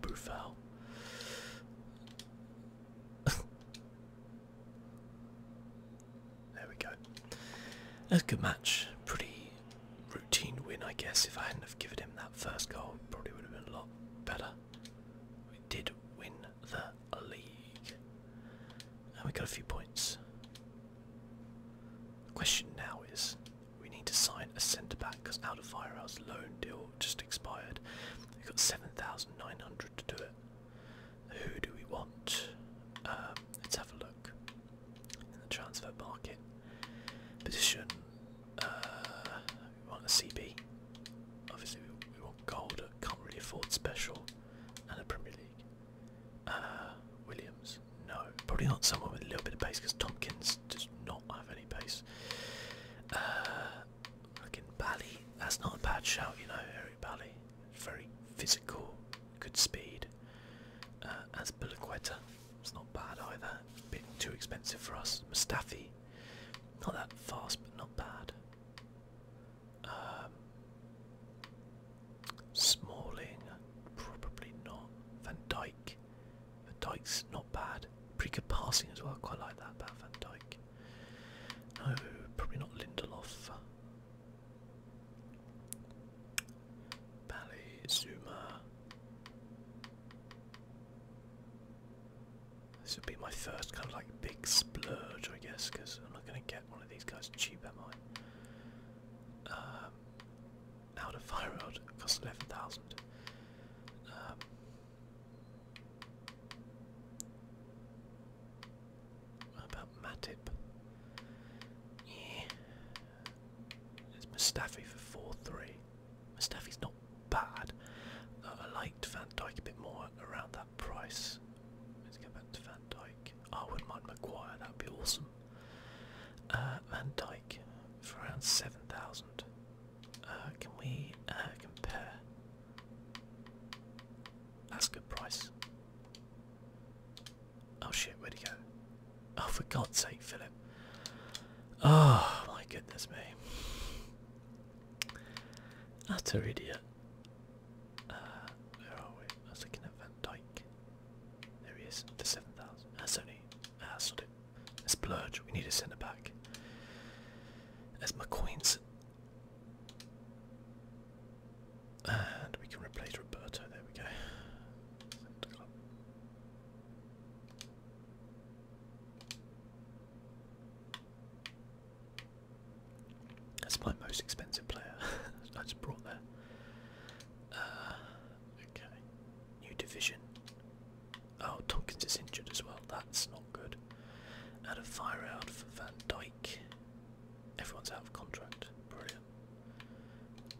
Speaker 1: Bufal. there we go. That's a good match. Pretty routine win, I guess. If I hadn't have given him that first goal, probably would have been a lot better. We did win the league. And we got a few points. The question now is we need to sign a centre back because out of Firehouse loan deal just expired. We've got 7,900 to do it. Who do we want? Um, let's have a look. In the transfer market. Position. Uh, we want a CB. Obviously, we, want gold. Can't really afford special. And a Premier League. Uh, Williams. No. Probably not someone with a little bit of pace because Tompkins that's not have any pace. Uh, Bally. That's not a bad shout, you know, Eric Bally. Very physical, good speed. Uh, as Bulaqueta, it's not bad either. bit too expensive for us. Mustafi, not that fast, but not bad. Um, Smalling, probably not. Van Dyke, Dyke. But Dyke's not bad. Pretty good passing as well. Quite like that Van Dyke. No, probably not Lindelof. Bally, Zuma. This would be my first kind of like big splurge, I guess, because I'm not going to get one of these guys cheap, am I? Um, out of Fire Road, costs 11,000. Um, what about Matip? Yeah. It's Mustafi for 4-3. Mustafi's not bad. I liked Van Dyke a bit more around that price. Let's go back to Van Dyke. Oh, I wouldn't mind Maguire, that would be awesome. Uh, Van Dyke for around 7,000. Uh, can we uh, compare? That's a good price. Oh shit, where'd he go? Oh, for God's sake, Philip. Oh my goodness me. Utter idiot. Uh, where are we? I was looking at Van Dyke. There he is, the 7,000. That's only Ah, We need a centre back. There's McQueen's. And we can replace Roberto. There we go. That's my most expensive player. I just brought there. Uh, okay. New division. Oh, Tompkins is injured as well. That's not good. Add a fire out for Van Dyke. Everyone's out of contract. Brilliant.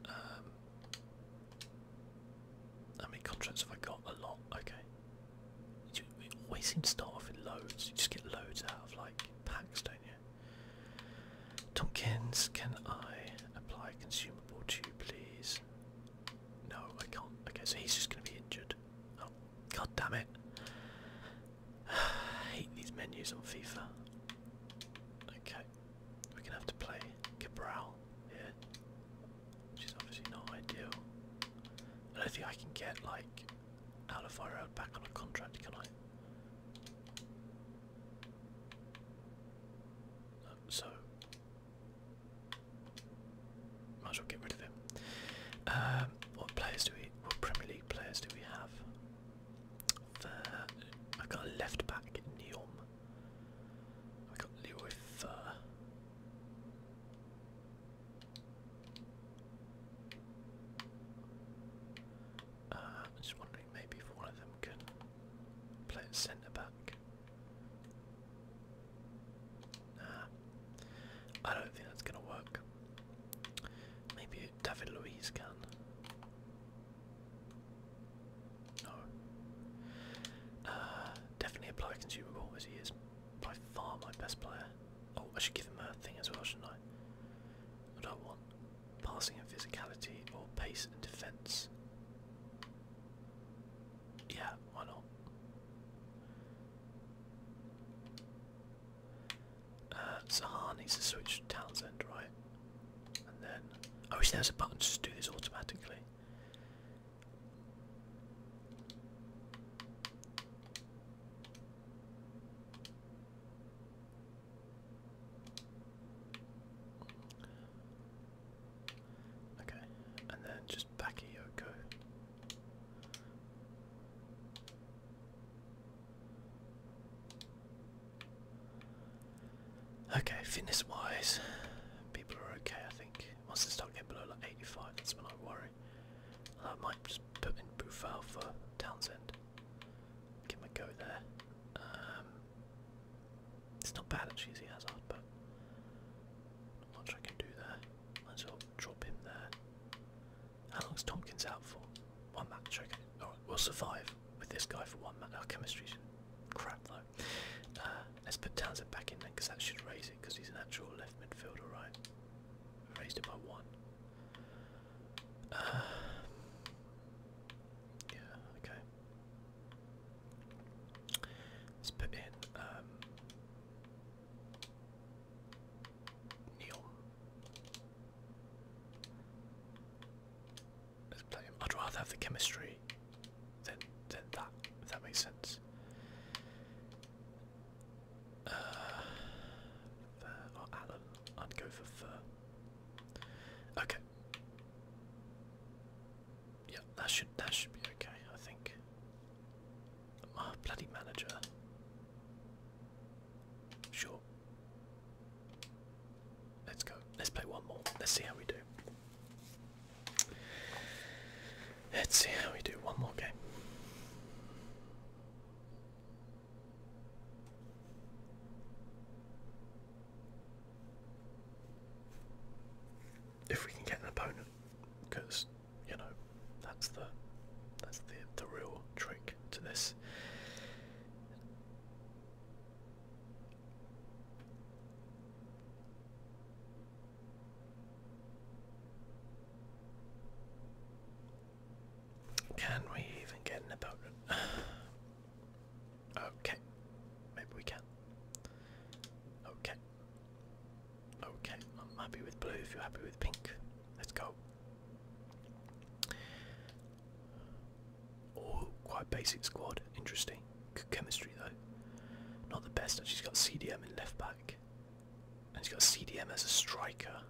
Speaker 1: Um, how many contracts have I got? A lot. Okay. You, always seem to start off with loads. You just get loads out of like packs, don't you? Tomkins, can I apply consumable to you, please? No, I can't. Okay, so he's just going to be injured. Oh, god damn it. hate these menus on FIFA. Okay, we're going to have to play Cabral here, which is obviously not ideal. I don't think I can get, like, Alvaro back on a contract, can I? So, might as get rid of him. Um, what players do we? What Premier League players do we have? Fur. I got a left back Neom. I got Leroy uh, I'm just wondering maybe if one of them can play centre back. I don't think that's gonna work. Maybe David Luiz can. No. Uh, definitely apply consumable as he is by far my best player. Oh, I should give him a thing as well, shouldn't I? What do I want? Passing and physicality or pace and defence? Yeah, why not? Zaha uh, needs to switch Townsend, right? And then... I oh, wish there was a button to do this automatically. Okay, and then just Bakayoko. Okay, fitness wise, people are okay I think. Once they start getting below like 85, that's when I worry. I might just put in Bufal for Townsend. Give him a go there. Um, it's not bad actually as he but much I can do there. Might as well drop him there. How long's Tompkins out for? One match, okay. Alright, we'll survive with this guy for one match. Our chemistry's crap though. Uh, let's put Townsend back in then, because that should raise it, because he's an actual left midfielder, right? Raised it by one. Uh, yeah, okay. Let's put in um, Neil. Let's play I'd rather have the chemistry than than that, if that makes sense. Uh, fur or Alan. I'd go for Fur. Okay. Yeah, that should that should be okay, I think. My bloody manager. Sure. Let's go. Let's play one more. Let's see how we do. Let's see how we do. One more game if we can get an opponent, because you know that's the that's the the real trick to this. Can we even get an opponent? okay, maybe we can. Okay, Oh, okay, I'm happy with blue if you're happy with pink. Let's go. Oh, quite basic squad. Interesting. chemistry though. Not the best. Actually, he's got CDM in left back. And she has got CDM as a striker.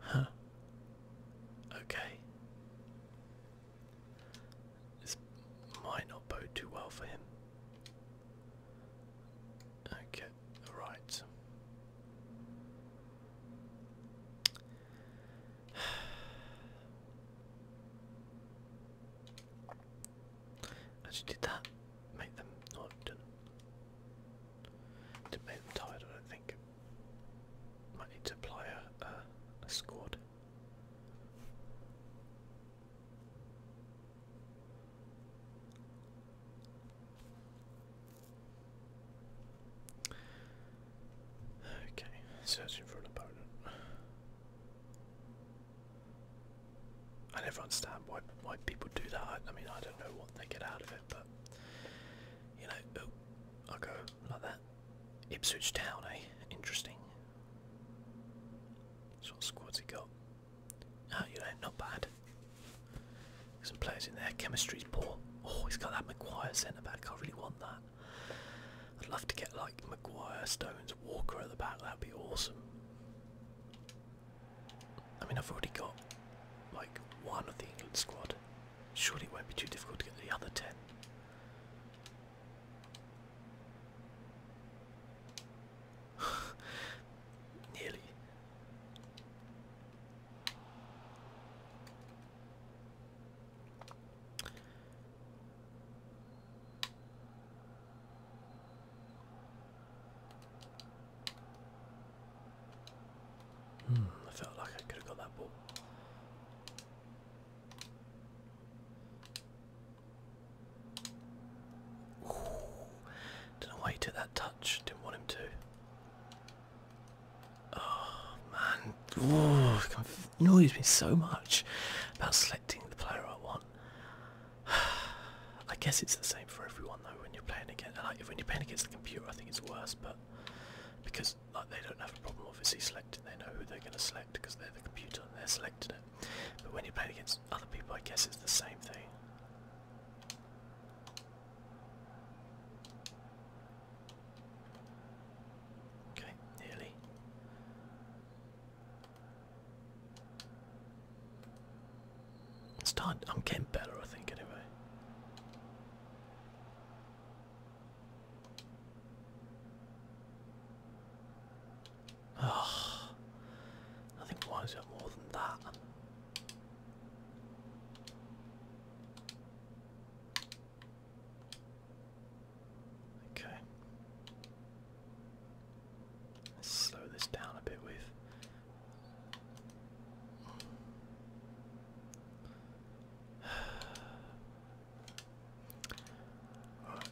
Speaker 1: Huh. Okay. This might not bode too well for him. Okay, right. Actually, did that make them? No, not Did make them tired? I don't think. Might need to apply a squad. Okay, searching for an opponent. I never understand why why people do that. I, mean, I don't know what they get out of it, but you know, oh, i go like that. Ipswich Town, eh? Interesting. what squad's he got? not bad. Some players in there. Chemistry's poor. Oh, he's got that Maguire centre back. I really want that. I'd love to get like Maguire, Stones, Walker at the back. That'd be awesome. I mean, I've already got like one of the England squad. Surely it won't be too difficult to get the other ten. Nearly. Hmm, I felt like I could have got that ball. Ooh. Don't know why he took that touch. Didn't want him to. Oh man. Ooh, annoys me so much about selecting the player I want. I guess it's the same for everyone though when you're playing against like, when you're playing against the computer I think it's worse but because like they don't have a problem obviously selecting they know who they're gonna select because they're the computer and they're selecting it. But when you play against other people, I guess it's the same thing. Okay, nearly. It's I'm getting better, I think, anyway. Oh, think winds me up more than that. Okay. Let's slow this down a bit with. Right.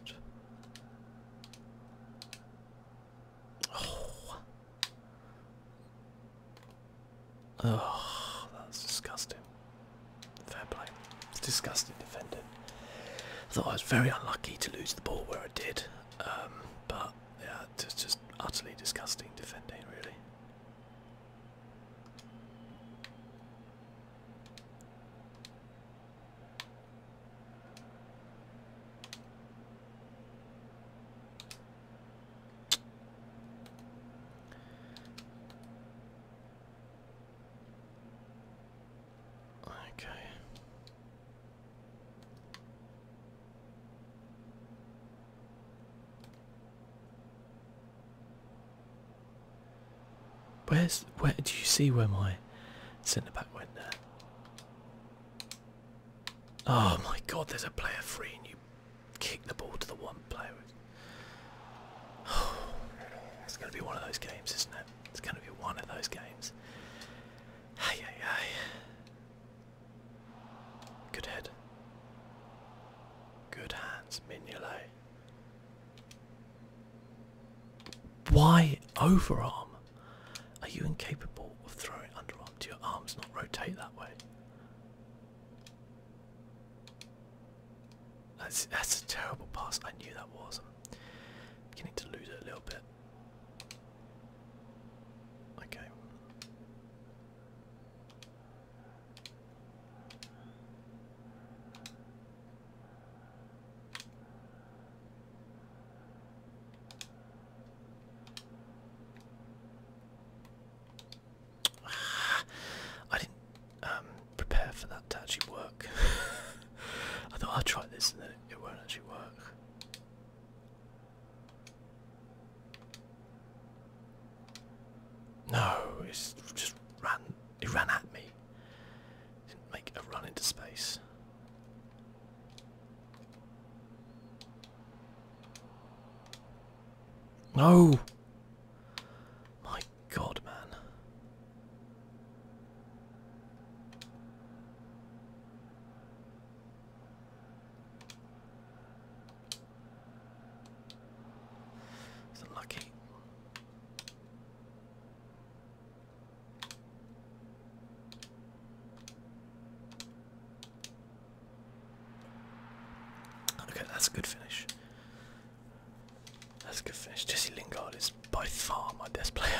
Speaker 1: Oh. that's disgusting. Fair play. It's disgusting defending. I thought I was very unlucky to lose the ball where I did, um, but yeah, it's just utterly disgusting defending, really. Okay. Where's where do you see where my centre back went there? Oh my god, there's a player free and you kick the ball to the one player. it's going to be one of those games, isn't it? It's going to be one of those games. Good head. Good hands, Mignolet. Why overarm? Are you incapable of throwing underarm? Do your arms not rotate that way? That's, that's a terrible pass. I knew that was. I'm beginning to lose it a little bit. Okay. I didn't um, prepare for that to actually work. I thought I'd try this and it won't actually work. No, it's just ran. It ran at me did make a run into space. No! My god, man. It's unlucky. Okay, that's a good finish. That's a good finish. Jesse Lingard is by far my best player.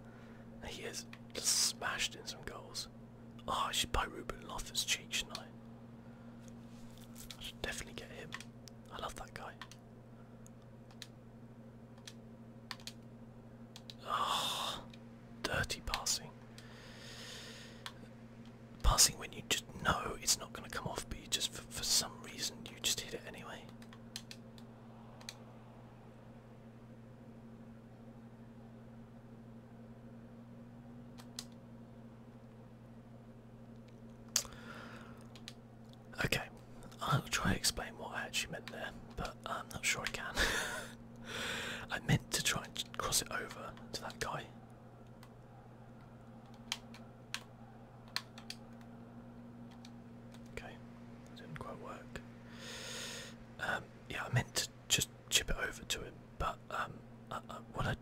Speaker 1: he has smashed in some goals. Oh, I should buy Ruben Loftus cheek, shouldn't I? I should definitely get him. I love that guy. Oh, dirty passing. Passing when you just know it's not going to come off, but you just, for, some reason, you just hit it anyway. Okay, I'll try to explain what I actually meant there, but uh, I'm not sure I can. I meant to try and cross it over to that guy. Okay, didn't quite work. Um, yeah, I meant to just chip it over to him, but um, uh, uh, what I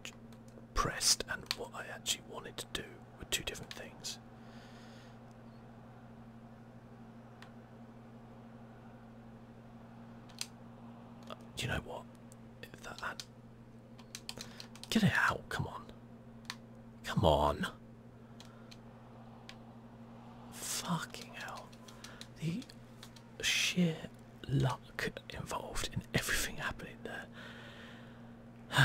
Speaker 1: pressed and what I actually wanted to do were two different things. Do you know what? Get it out, come on. Come on. Fucking hell. The sheer luck involved in everything happening there. I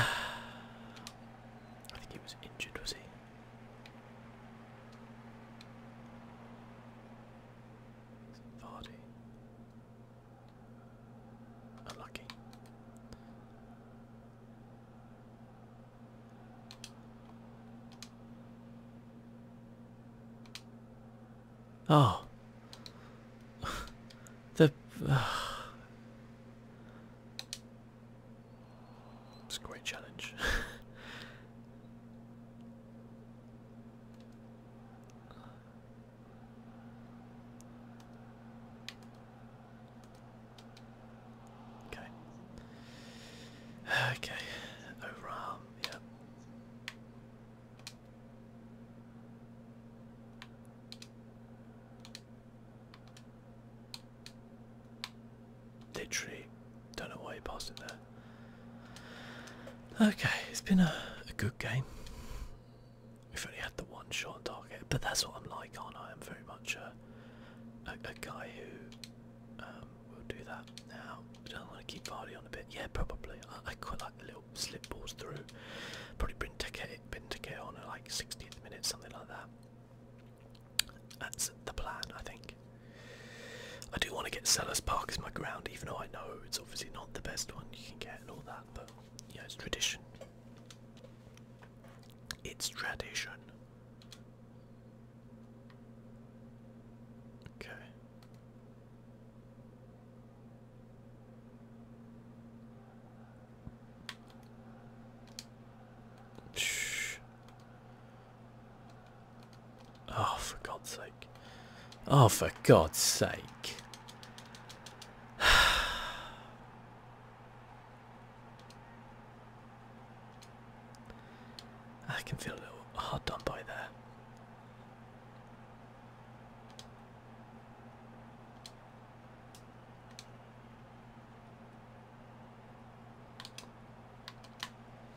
Speaker 1: think he was injured, was he? Vardy. Unlucky. Oh. the. Uh, it's a great challenge. okay. Okay. Overarm, yeah. Literally, don't know why he passed it there. Okay, it's been a, good game. We've only had the one shot on target, but that's what I'm like, aren't I? I'm very much a, a, guy who um, will do that. Now, I don't want to keep Vardy on a bit. Yeah, probably. I, I quite like the little slip balls through. Probably bring Benteke on at like 60th minute, something like that. That's the plan, I think. I do want to get Sellers Park as my ground, even though I know it's obviously not the best one you can get and all that, but yeah, it's tradition. It's tradition. Okay. Oh, for God's sake. Oh, for God's sake. I can feel a little hard done by there.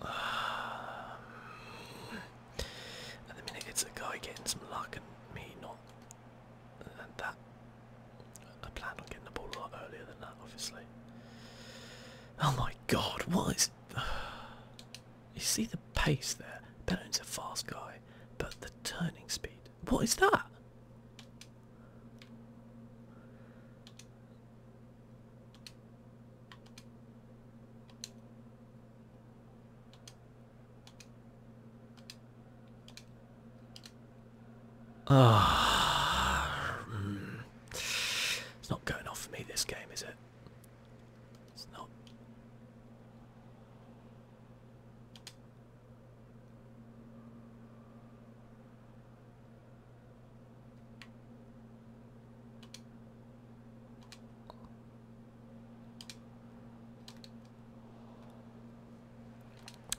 Speaker 1: Um, the minute, it's a guy getting some luck and me not. And that. I planned on getting the ball a lot earlier than that, obviously. Oh my god, what is. You see the pace there? Benon's a fast guy, but the turning speed. What is that? Ah, hmm. it's not going off for me this game, is it? It's not.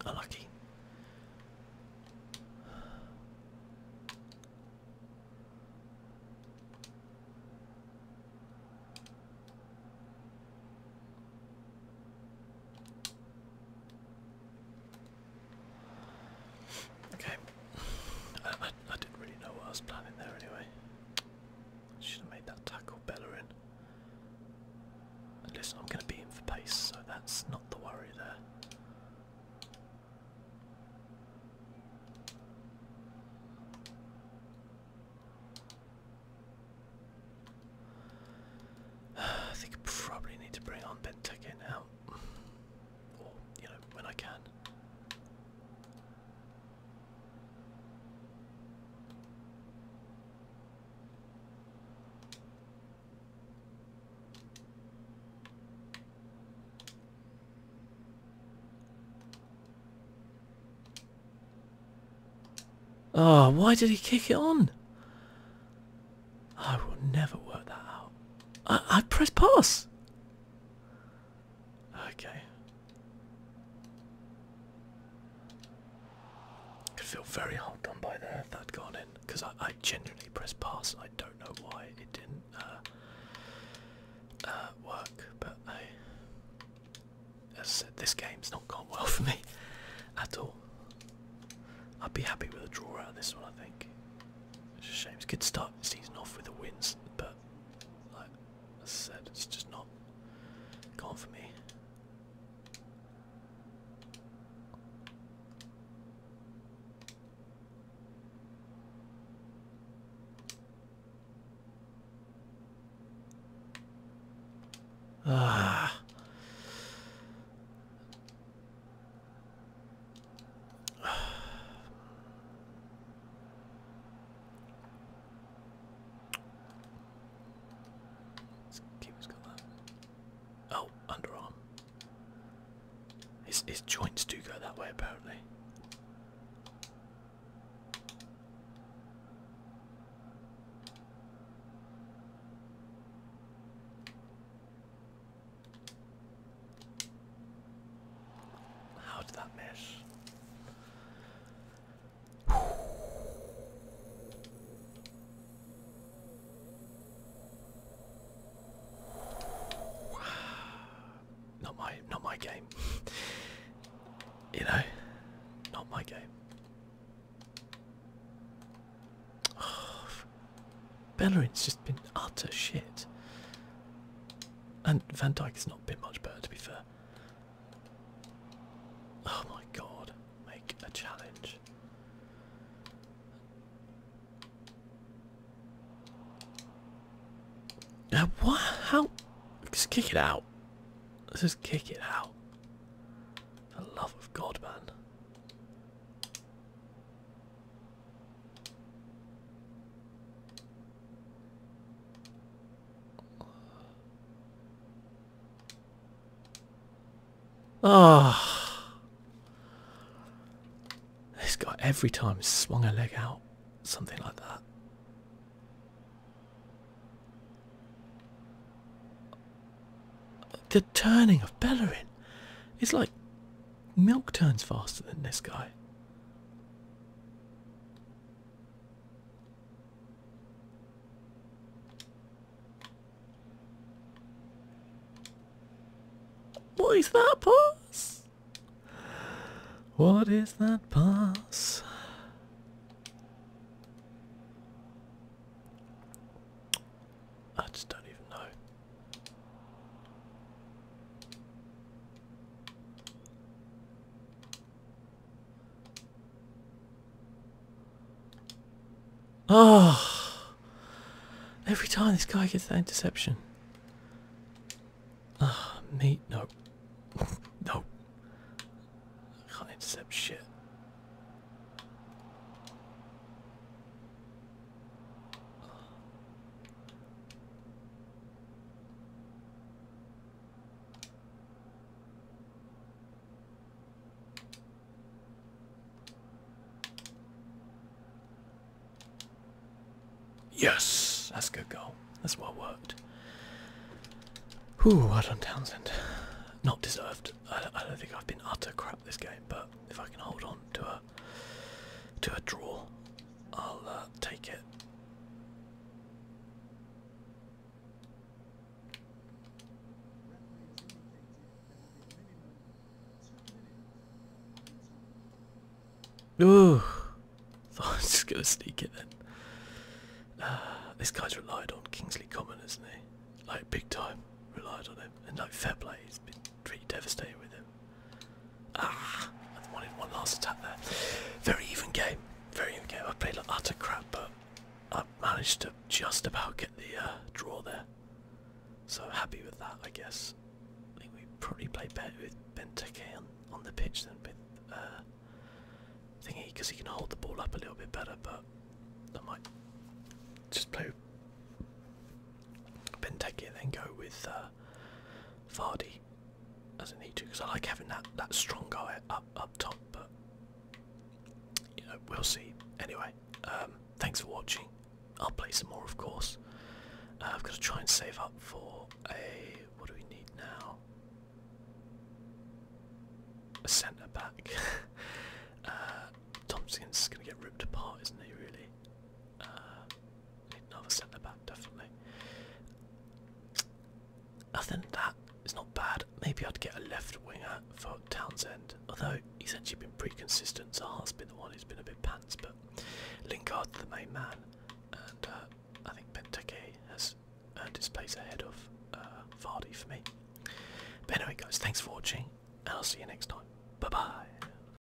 Speaker 1: Unlucky. Okay. I, didn't really know what I was planning there anyway. Should have made that tackle better in. listen, I'm going to beat him for pace, so that's not the worry there. I think I probably need to bring on Benteke now when I can. Oh, why did he kick it on? I will never work that out. I, I press pass. Okay. I feel very hard done by there that'd gone in, because I, I genuinely press pass. I don't know why it didn't uh, uh, work, but as I said, this game's not gone well for me at all. I'd be happy with a draw out of this one, I think. It's a shame. It's good to start the season off with the wins, but like I said, it's just not gone for me. Ah. Keeper's got that. Oh, underarm. His his joints do go that way apparently. How did that miss? Not my not my game. you know, not my game. Oh, Bellerin's just been utter shit. And Van Dyke has not been much better, to be fair. Oh my god, make a challenge. Now, what? How? Just kick it out. Let's just kick it out. For the love of God, man. Ah, this guy every time swung a leg out, something like that. The turning of Bellerin is like Milk turns faster than this guy. What is that pass? What is that pass? I just don't even know. Oh, every time this guy gets that interception. Ah, me no. no. I can't intercept shit. Yes, that's a good goal. That's well worked. Whew, well done Townsend. Not deserved. I don't think I've been utter crap this game, but if I can hold on to a to a draw. I'll uh, take it. Ooh, thought I was just gonna sneak it in. Ah, this guy's relied on Kingsley Common, isn't he? Like big time, relied on him, and like fair play, he's been pretty devastated with him. Ah, I wanted one last attack there. Very even game. Very even game. I played like utter crap, but I managed to just about get the uh, draw there. So happy with that, I guess. I think we probably play better with Benteke on, the pitch than with uh, Thingy because he can hold the ball up a little bit better. But I might just play Benteke and then go with uh, Fardy, doesn't need to because I like having that that strong guy up up top. But we'll see. Anyway, um, thanks for watching. I'll play some more, of course. Uh, I've got to try and save up for a what do we need now? A centre back. Uh, Thompson's gonna get ripped apart, isn't he? Really. Uh, Need another centre back, definitely. Other than that, it's not bad. Maybe I'd get a left winger for Townsend, although he's actually been pretty consistent. So Zaha's been the one who's been a bit pants, but Lingard the main man, and uh, I think Benteke has earned his place ahead of uh, Vardy for me. But anyway, guys, thanks for watching, I'll see you next time. Bye bye.